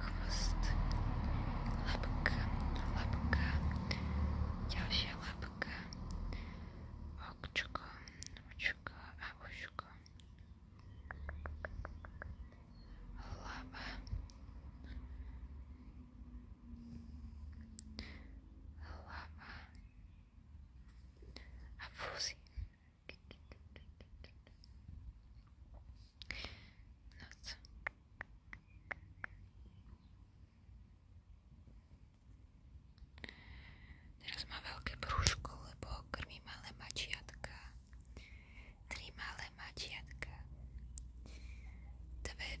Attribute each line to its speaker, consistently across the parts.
Speaker 1: хвост, лапка, лапка, девчья лапка, окчука, окчука, окчука, лапа, However, a fuzzy nuts. Teraz ma veľké brúško, lebo krmí malé mačiatka. Tri malé mačiatka. Dve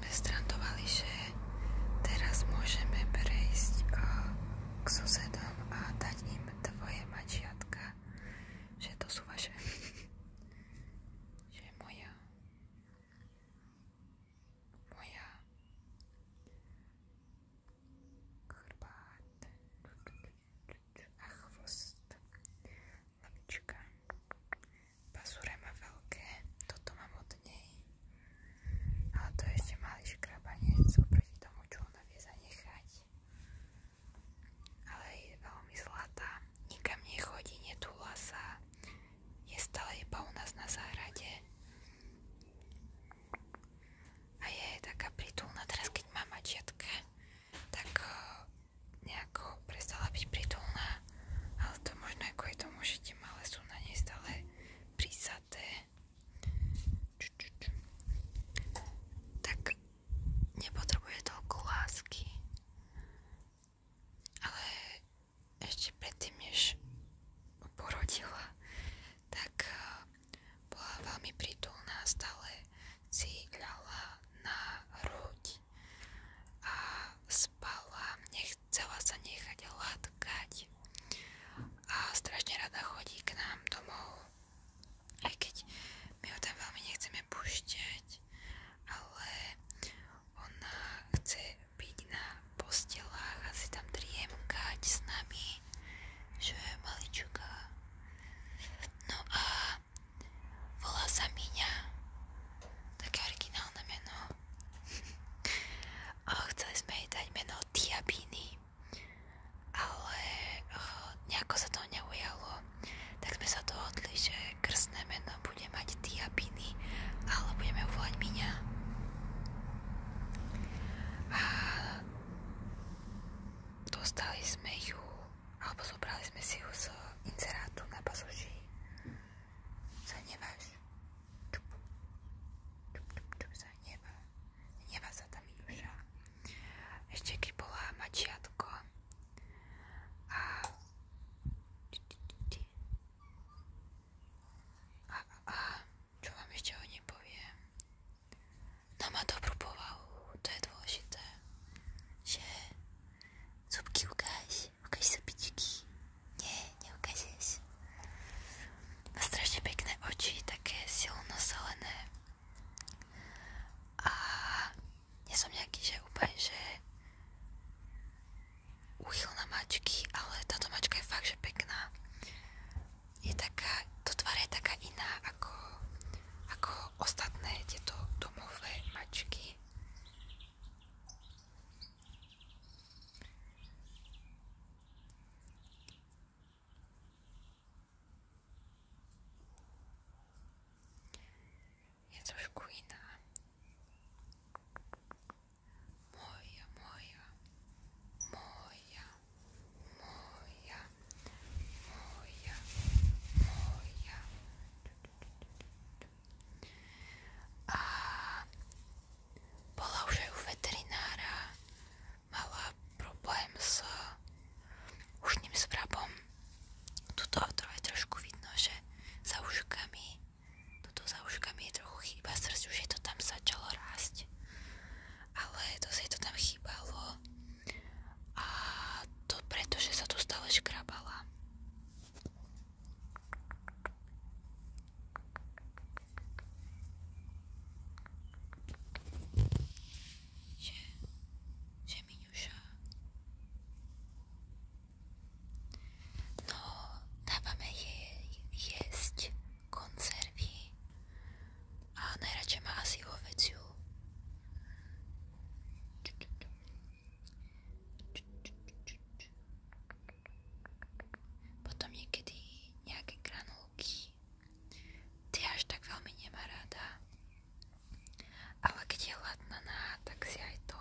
Speaker 1: sme strandovali, že teraz môžeme prejsť eh, k susedom a dať im tvoje mačiatka, že to sú vaše, že moja, moja chrbát a chvost, lavička. Pasúre má veľké, toto mám od nej. Ale to je ešte malý škrabanec oproti tomu, čo ona vie zanechať. Ale je veľmi zlatá, nikam nechodí, netúla sa. Je stále iba u nás na záhrade. A je taká pritulná teraz, keď má mačiatka, tak eh, nejako prestala byť pritulná. Ale to možno aj kvôli tomu, že ešte malé sú na nej stále prisaté. Ču, ču, ču. Tak nepotrebuje toľko lásky. Ale ešte predtým, než porodila, tak eh, bola veľmi prítulná, stále si ľala na hrudi a spala, nechcela sa nechať hladkať a strašne rada chodí k nám domov, aj keď my ho tam veľmi nechceme pušťať, ale ona chce byť na postelách a si tam driemkať s nami, že je malička. No a volá sa Miňa. Také originálne meno. Chceli sme jej dať meno Diabíny, ale eh, nejako sa to neujalo. Tak sme sa dohodli, že krstné meno bude mať Diabíny, ale budeme ju volať Miňa. A dostali sme ju, alebo zobrali sme si ju z inzerátu na pasoží. Zanieważ. Czup, czup, czup, czup, zaniewa. Zaniewa za Tamiliusza. Ścieki była maciatko. A... A, a, a, co wam jeszcze o niej powiem? No ma to próbował te dwosite się zupki ugaś. Ukáž sa pičky. Nie, neukážeš. Má strašne pekné oči, také silno zelené. A nie som nejaký, že úplne, že uchyl na mačky, ale táto mačka je fakt, že pekná. Je taká, to tvár je taká iná ako, ako ostatné tieto domové mačky. Jest już Queena. Moja, moja, moja, moja, moja, moja, moja, A bola už aj u veterinára, mala problém s ušným svrabom. Tuto je trošku vidno, že za uškami, tuto za uškami je trochu chýba srdc, už je to tam začalo rásť. Ale dosť to tam chýbalo a to preto, sa tu stále škrabala. No, dávame jej konzervy a najradšej má asi ovedziu potom niekedy nejaké granulky. Ty až tak veľmi nemá rada. Ale keď je hladnaná, tak si aj to.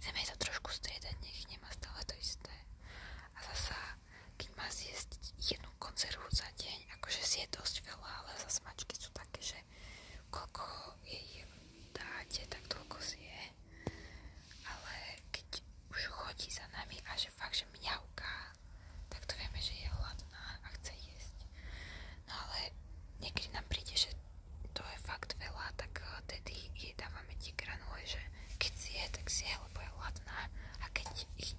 Speaker 1: Chceme to trošku striedať, nech nemá stále to isté. A zasa, keď má jednu konzervu za deň, akože si je dosť veľa, ale za mačky sú také, že zase koľko jej dáte, tak toľko zje. Ale keď už chodí za nami a že fakt, že mňauká, tak to vieme, že je hladná a chce jesť. No ale niekedy nám príde, že to je fakt veľa, tak eh, tedy jej dávame tie granule, že keď zje, tak zje, lebo je hladná a keď ich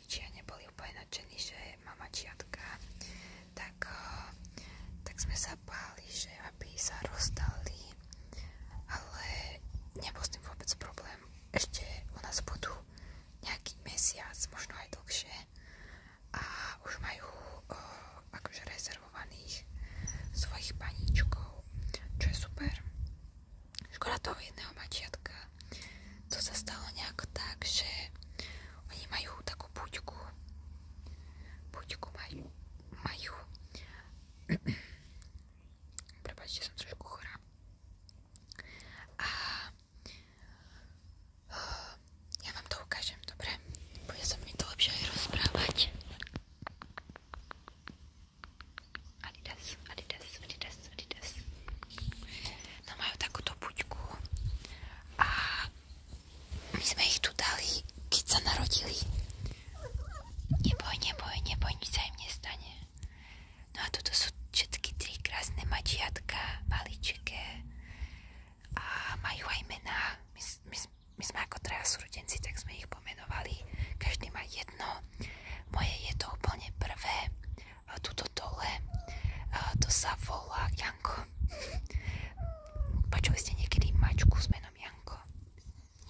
Speaker 1: rodičia neboli úplne nadšení, že mama čiatka, tak, eh, tak sme sa báli, že aby sa rozdali, ale nebol s tým vôbec problém. Ešte u nás budú nejaký mesiac, možno aj dlhšie a už majú o, eh, akože rezervovaných svojich paníčkov, čo je super škoda toho jedného mačiatka. To sa stalo nejako tak, že oni majú takú buďku. Buďku majú. majú. Prepačte, som trošku chorá. A eh, ja vám to ukážem, dobre? Bude sa mi to lepšie aj rozprávať. Adidas, Adidas, Adidas, Adidas. No majú takúto buďku a my sme ich tu dali, keď sa narodili. Neboj, neboj, neboj, nič sa im nestane. No a toto sú všetky tri krásne mačiatka, maličké a majú aj mená. My, my, my sme ako traja súrodenci, tak sme ich pomenovali. Každý má jedno. Moje je to úplne prvé tuto dole. To sa volá Janko. Počuli ste niekedy mačku s menom Janko?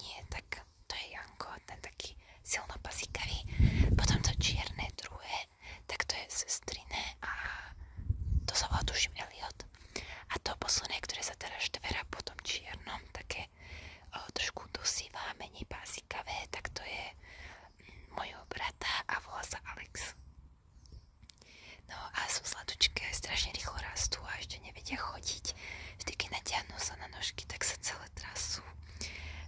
Speaker 1: Nie, tak to je Janko, ten taký silno pasikavý. Potom to čierne druhé, tak to je sestriné a to sa volá tuším Eliot. A to posledné, ktoré sa teraz štverá po tom čiernom, také o, trošku dusivá, menej pásikavé, tak to je mm, mojho brata a volá sa Alex. No a sú zladučké, strašne rýchlo rastú a ešte nevedia chodiť. Vždy, keď natiahnú sa na nožky, tak sa celé trasu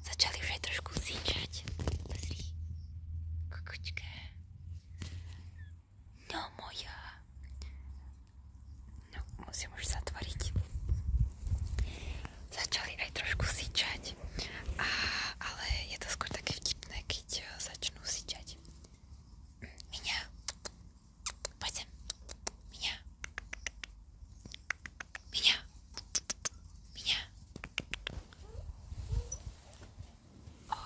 Speaker 1: Začali už aj trošku zíčať. Pozri, kukučka. No moja. No, musím už zatvoriť začali aj trošku syčať, a, ale je to skôr také vtipné, keď eh, začnú syčať. Miňa, poď sem. Miňa. Miňa. Miňa. O,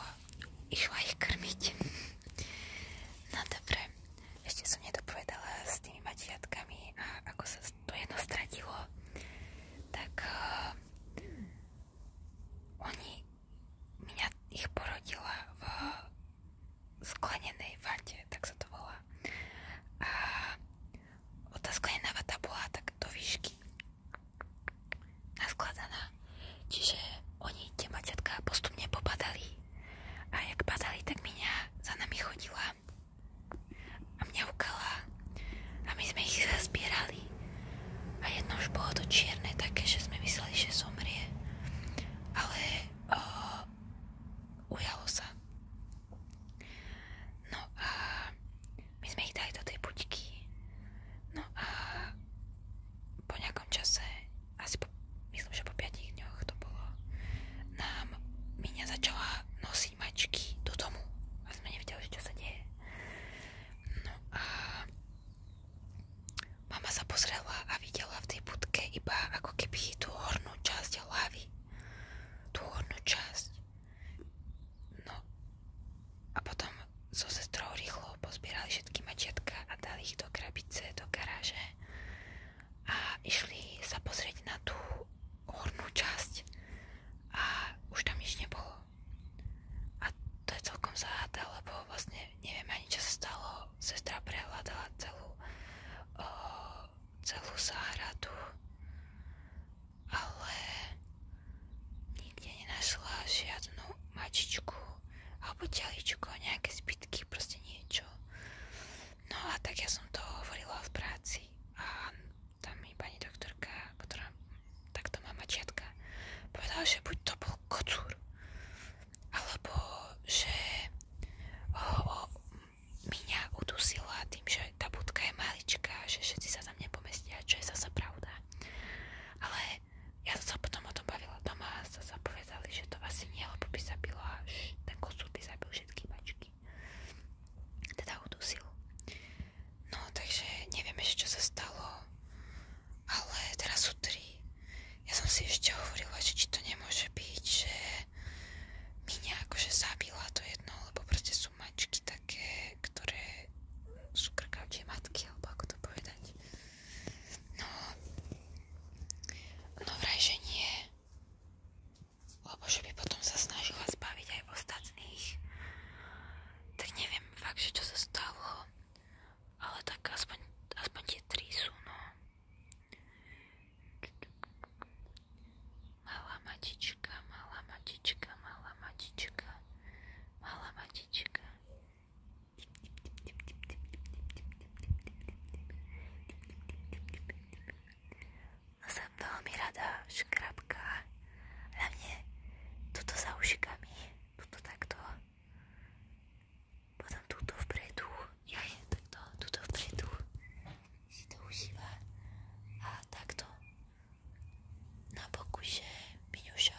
Speaker 1: išla ich krmiť. No dobre, ešte som nedopovedala s tými mačiatkami a ako sa to jedno stratilo, tak eh, oni, mňa ich porodila v sklenenej vate, tak sa to volá. A tá sklenená vata tak do výšky naskladaná. Čiže oni tie maťatka postupne popadali a jak padali, tak mňa za nami chodila a mňaukala a my sme ich zazbierali a jedno už bolo to čierne také, že sme mysleli, že zomrie ale o, ujalo sa no a my sme ich dali do tej buďky no a po nejakom čase asi po, myslím, že po 5 dňoch to bolo, nám Miňa začala nosiť mačky do domu a sme nevedeli, čo sa deje. No a mama sa pozrela a videla v tej budke iba ako keby tú hornú časť hlavy. Tú hornú časť. No a potom so sestrou rýchlo pozbierali všetky mačiatka a dali ich do krabice, do garáže a išli sa pozrieť na tú hornú časť a už tam nič nebolo. A to je celkom záhada, lebo vlastne neviem ani čo sa stalo. Sestra prehľadala celú, o, celú záhradu, ale nikde nenašla žiadnu mačičku alebo teličku, nejaké zbytky, proste niečo čo. No a tak ja som to hovorila v práci a tam mi pani doktorka, ktorá takto má mačiatka, povedala, že buď to bol kocúr, alebo že ho miňa udusila tým, že tá budka je malička, že všetci sa tam nepomestia, čo je zase pravda. Ale ja som sa potom o tom bavila doma teraz sa zapovedali, že to asi nie, lebo by zabila, ten kosúr by zabil všetky mačky. Teda udusil. No, takže nevieme, čo sa stalo, ale teraz sú tri. Ja som si ešte hovorila, že či to nemôže byť, že Miňa akože zabila to jedno, lebo proste sú mačky také, ktoré sú krkavčie matky, alebo ako to povedať. No, no vraj, že nie. Lebo že by potom sa snažila zbaviť aj ostatných. Tak neviem fakt, že čo sa stalo. Ale tak aspoň, aspoň tie tri sú, no. Malá matička, malá matička, malá matička, malá matička. No som veľmi rada, škrabka. Hlavne tuto za ušikami, tuto takto. Potom túto vpredu. Ja je takto, túto vpredu. Si to užíva. A takto. Na boku je Miňuša.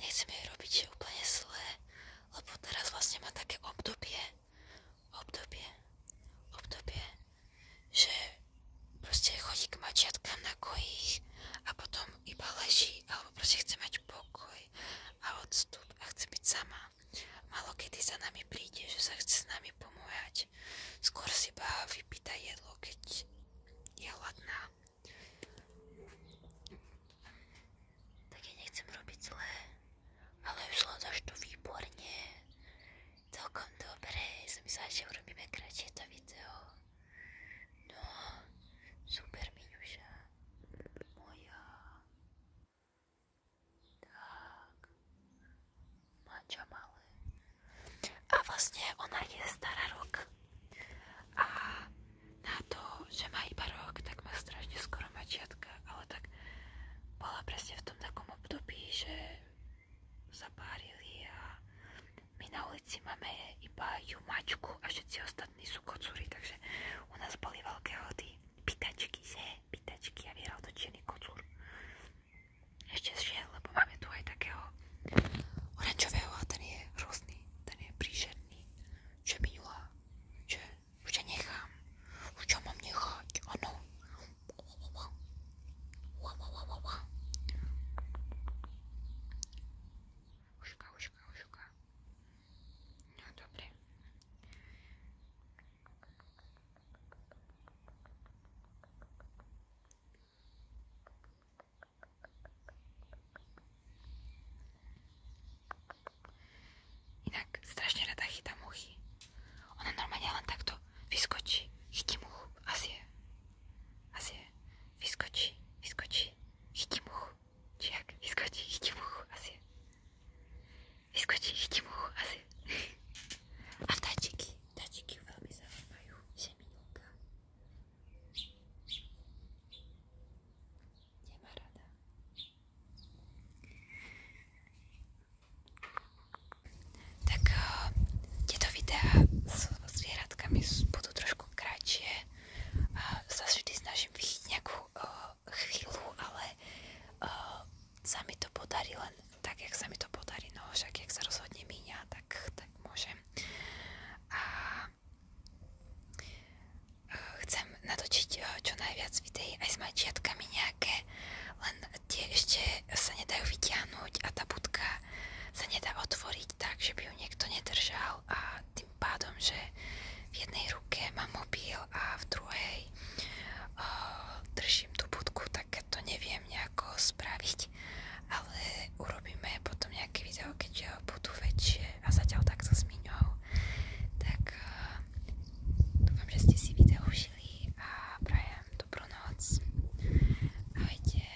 Speaker 1: Nechcem jej robiť zlé, lebo teraz vlastne má také obdobie, obdobie, obdobie, že proste chodí k mačiatkám na kojích a potom iba leží, alebo proste chce mať pokoj a odstup a chce byť sama. Malo kedy za nami príde, že sa chce s nami pomôjať. Skôr si ba vypýta jedlo, keď je hladná. Tak ja nechcem robiť zlé, ale už hľadaš to výborne. Celkom dobre, som myslela, že urobíme kratšie to video. No, super Miňuša, moja. A vlastne ona je stará rok. A na to, že má iba rok, tak má strašne skoro mačiatka. Ale tak bola presne v tom takom období, že sa a my na ulici máme iba ju mačku a všetci ostatní sú kocúri, takže u nás boli veľké hody pitačky, že? Pitačky a vyhral točený kocúr. Ešte zšiel, lebo máme tu aj takého oranžového a ten je hrozný, ten je príšerný. Čo minula, že už ťa nechám, už ťa mám nechať, áno. Uška, uška, uška. No dobre. Inak strašne rada chytá muchy. Ona normálne len takto vyskočí, chytí muchu, asi je, asi je, vyskočí, vyskočí, chytí muchu. Či Vyskočí, chytí asi. Vyskočí, chytí asi. A vtáčiky, vtáčiky ju veľmi zaujímajú, Tak eh, tieto videá s zvieratkami budú trošku kratšie. Eh, Sa vždy snažím vychytiť nejakú uh, ale uh, mi to podarí tak, jak sa mi to podarí, no jak sa rozhodne míňa, tak, tak A eh, chcem natočiť eh, čo najviac videí s mačiatkami nejaké, len tie ešte sa nedajú a tá budka sa nedá otvoriť tak, že by ju niekto nedržal a tým pádom, že v jednej ruke mám mobil a v druhej o, eh, držím tú budku, tak to neviem nejako spraviť, ale urobíme potom nejaké video, keď eh, budú väčšie a zatiaľ tak s miňou. Tak o, eh, dúfam, že ste si video užili a prajem dobrú noc. Ahojte.